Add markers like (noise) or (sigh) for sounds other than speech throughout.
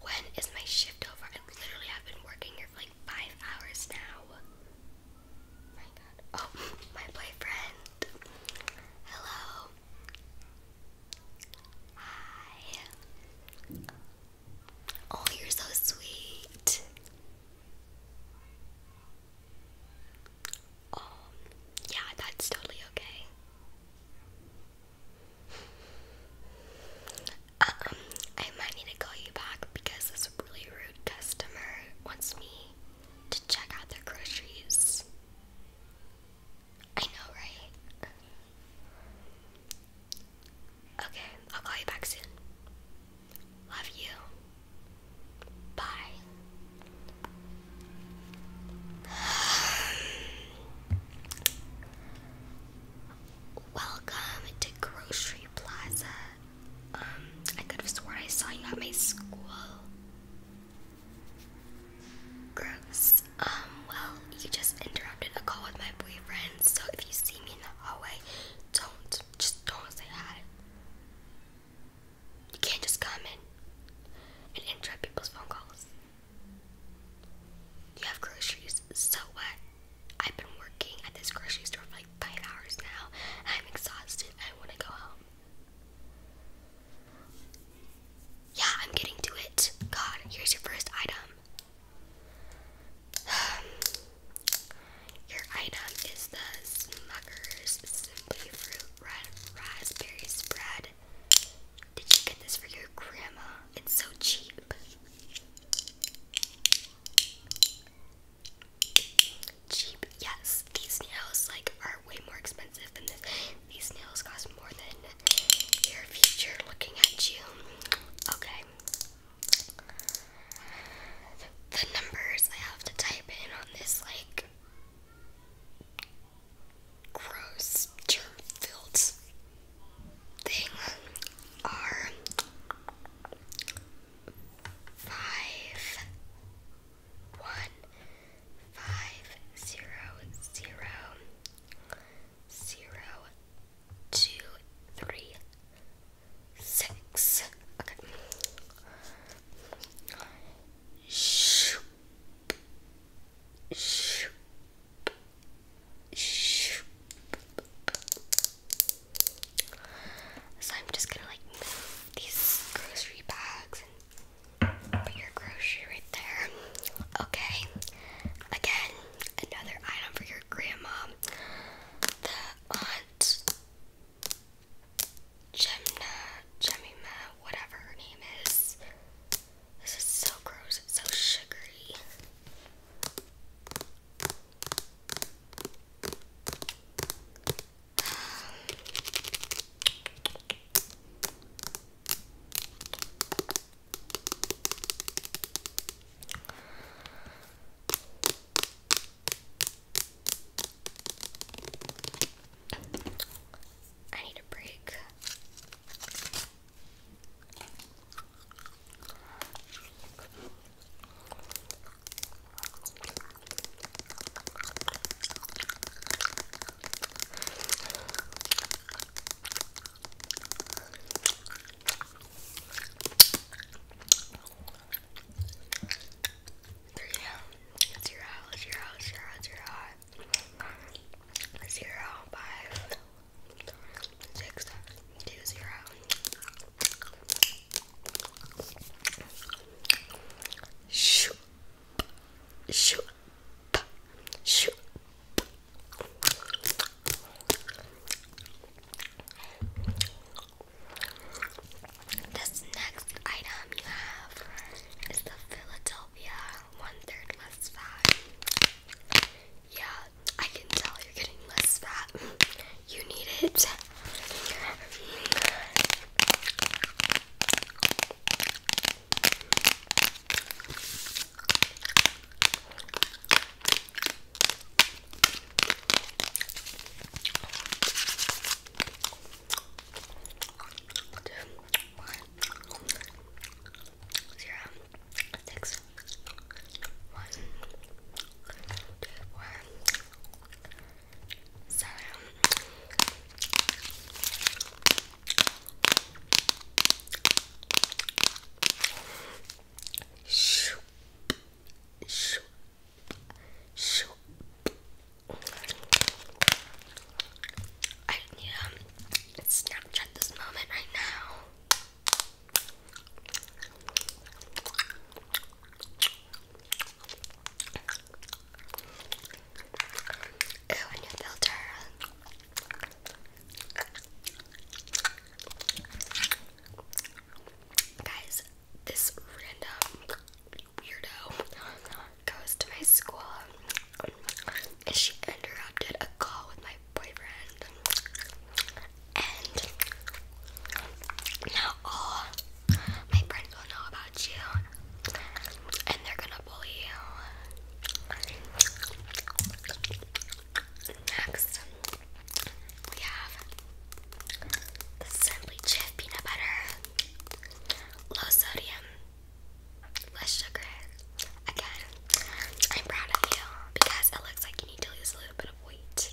when is my shift over? I have been working here for like five hours now. My god. Oh, (laughs) my boyfriend. Hello. Hi. Oh, you're so sweet. Um, yeah, that's totally okay. Um, I might need to call you back because this really rude customer wants me to check out their groceries. I know, right? Okay, I'll call you back soon. Love you. Bye. (sighs) Welcome to Grocery Plaza. Um, I could have sworn I saw you at my school. Gross. Um, well, you just interrupted a call with my boyfriend, so if you see me in the hallway, don't just don't say hi. You can't just come in and interrupt people's phone calls. You have groceries, so what? I've been working at this grocery store for like five hours now. I'm exhausted. I want to go home. Yeah, I'm getting to it. God, here's your first item. (sighs) Um, your item is the Smucker's Simply Fruit Red Raspberry Spread. Did you get this for your grandma? It's so cheap. Cheap, yes. These nails like are way more expensive than this. These nails cost more than your future looking at you. Okay the numbers I have to type in on this like gross germ-filled thing are five one five zero zero zero two three six. Okay. Shoop. Shoop. Shoop. So I'm just gonna like move these grocery bags and put your grocery right there. Okay. Again, another item for your grandma. Aunt Gemna, Jemima, whatever her name is. This is so gross, it's so sugary. I need a break yeah, zero, zero, zero, zero, zero, five, six, two, zero. Shoop, shoop, shoop, this next item you have is the Philadelphia One Third Less Fat. Yeah, I can tell you're getting less fat. You need it. Zero, six, one, two, four, seven, Shoop. Shoop. Shoop. I need to Snapchat this moment right now. Ooh, a new filter. Guys, this random weirdo goes to my school and she interrupted a call with my boyfriend. And now all my friends will know about you and they're gonna bully you. Next, we have the Simply Chef peanut butter, low sodium, less sugar. Again, I'm proud of you because it looks like you need to lose a little bit of weight.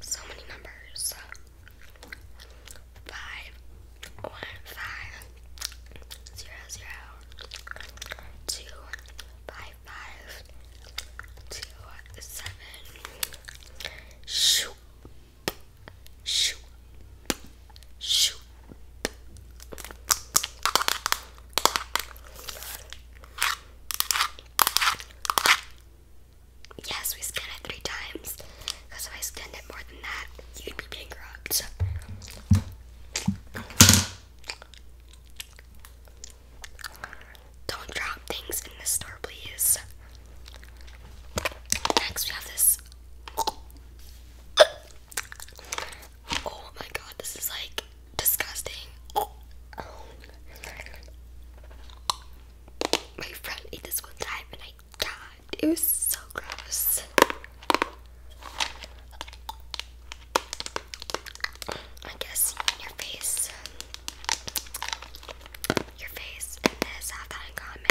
so many numbers. Five, one, five, zero, zero, two, five, five, two, seven, shoot, shoot, shoot. Yes, we scanned it three times. Because if I scanned it more than that, you'd be bankrupt. Don't drop things in the store, please. Next, we have this. Oh my god, this is like disgusting my friend ate this one time and I died. It was so gross. I guess your face, your face and this have that in common.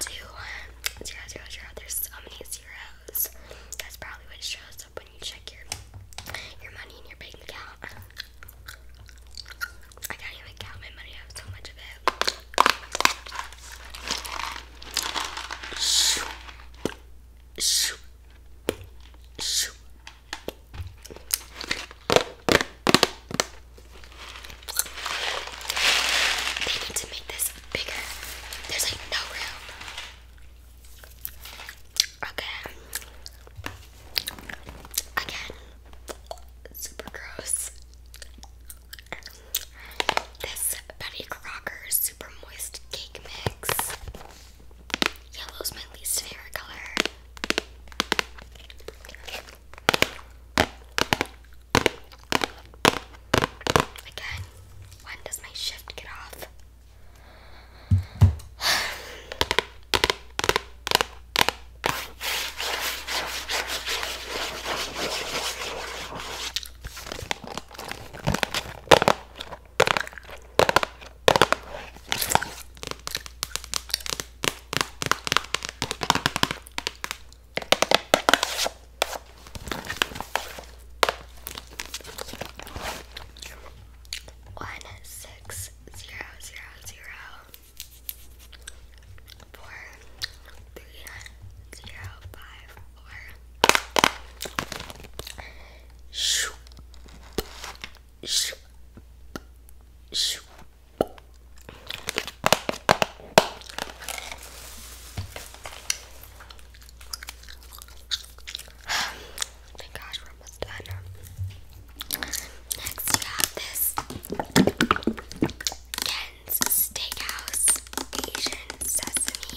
Two, zero, zero, zero. There's so many zeros. That's probably what shows up when you check your your money in your bank account. I can't even count my money. I have so much of it. They need to make this bigger. There's like no room. Okay. Again. Super gross. This Betty Crocker Super Moist Cake Mix. Yellow's my least favorite color. Again, when does my shift get off? One six zero zero zero four three zero five are. Shoo. Shoo. Shoo. Thank gosh, we're almost done. Next, we have this Ken's Steakhouse Asian Sesame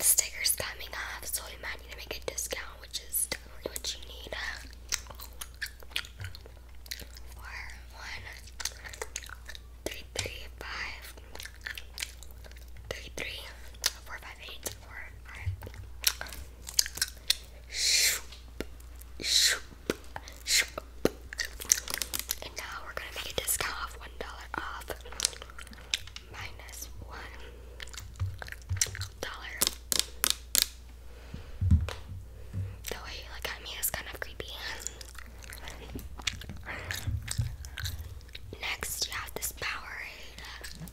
sticker's coming off, so you might need to make a discount, which is definitely what you need. Four, one, three, three, five, three, three, four, five, eight, four, five, and now we're gonna make a discount of one dollar off minus one dollar. The way you look at me is kind of creepy. Next, you have this Powerade.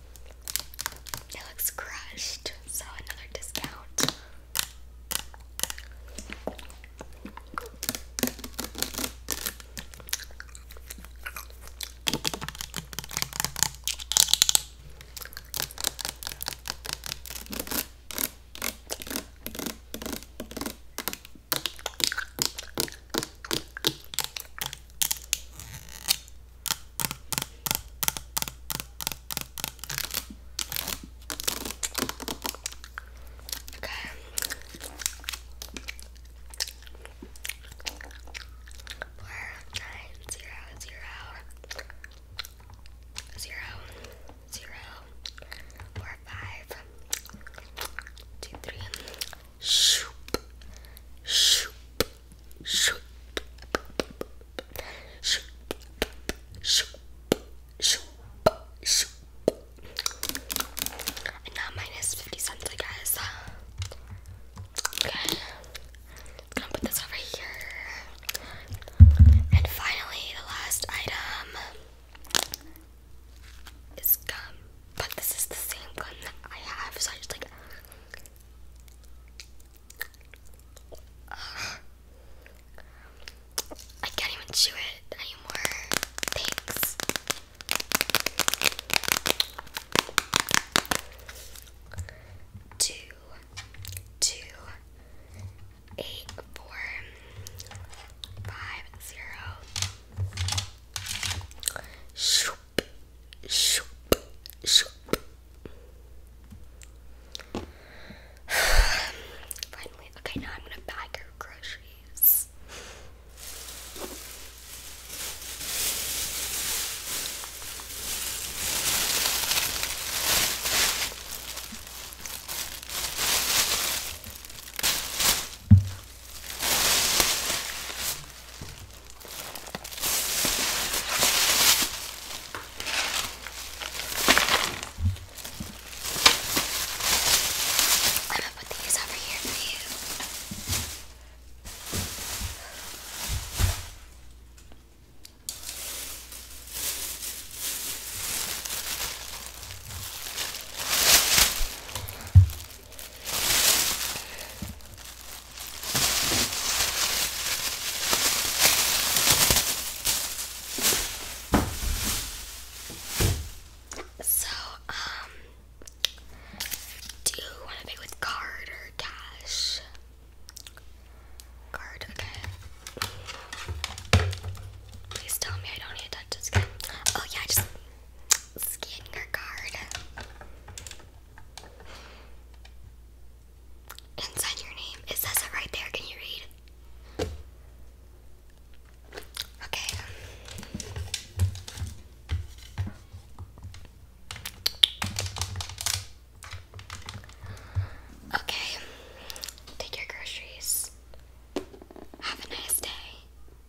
It looks crushed, so another discount. Okay. Four, nine, zero, zero, zero, zero, four, five, two, three, shoop, shoop, shoop, shoop, shoop, shoop, shoop. And now minus 50 cents, I guess. Okay. I'm gonna put this over here. And finally, the last item is gum. But this is the same gum that I have, so I just like I can't even chew it anymore. Thanks. Two, two, eight, four, five, zero. Shoop shoop, (sighs) shoop. Finally, okay, now I'm gonna bag your groceries. I'm gonna put these over here for you. So, um, do you want to pay with card or cash? Card, okay. Please tell me I don't need to touch this Oh yeah, I just Scan your card. Inside your name, it says it right there. Can you read? Okay. Okay. Take your groceries. Have a nice day.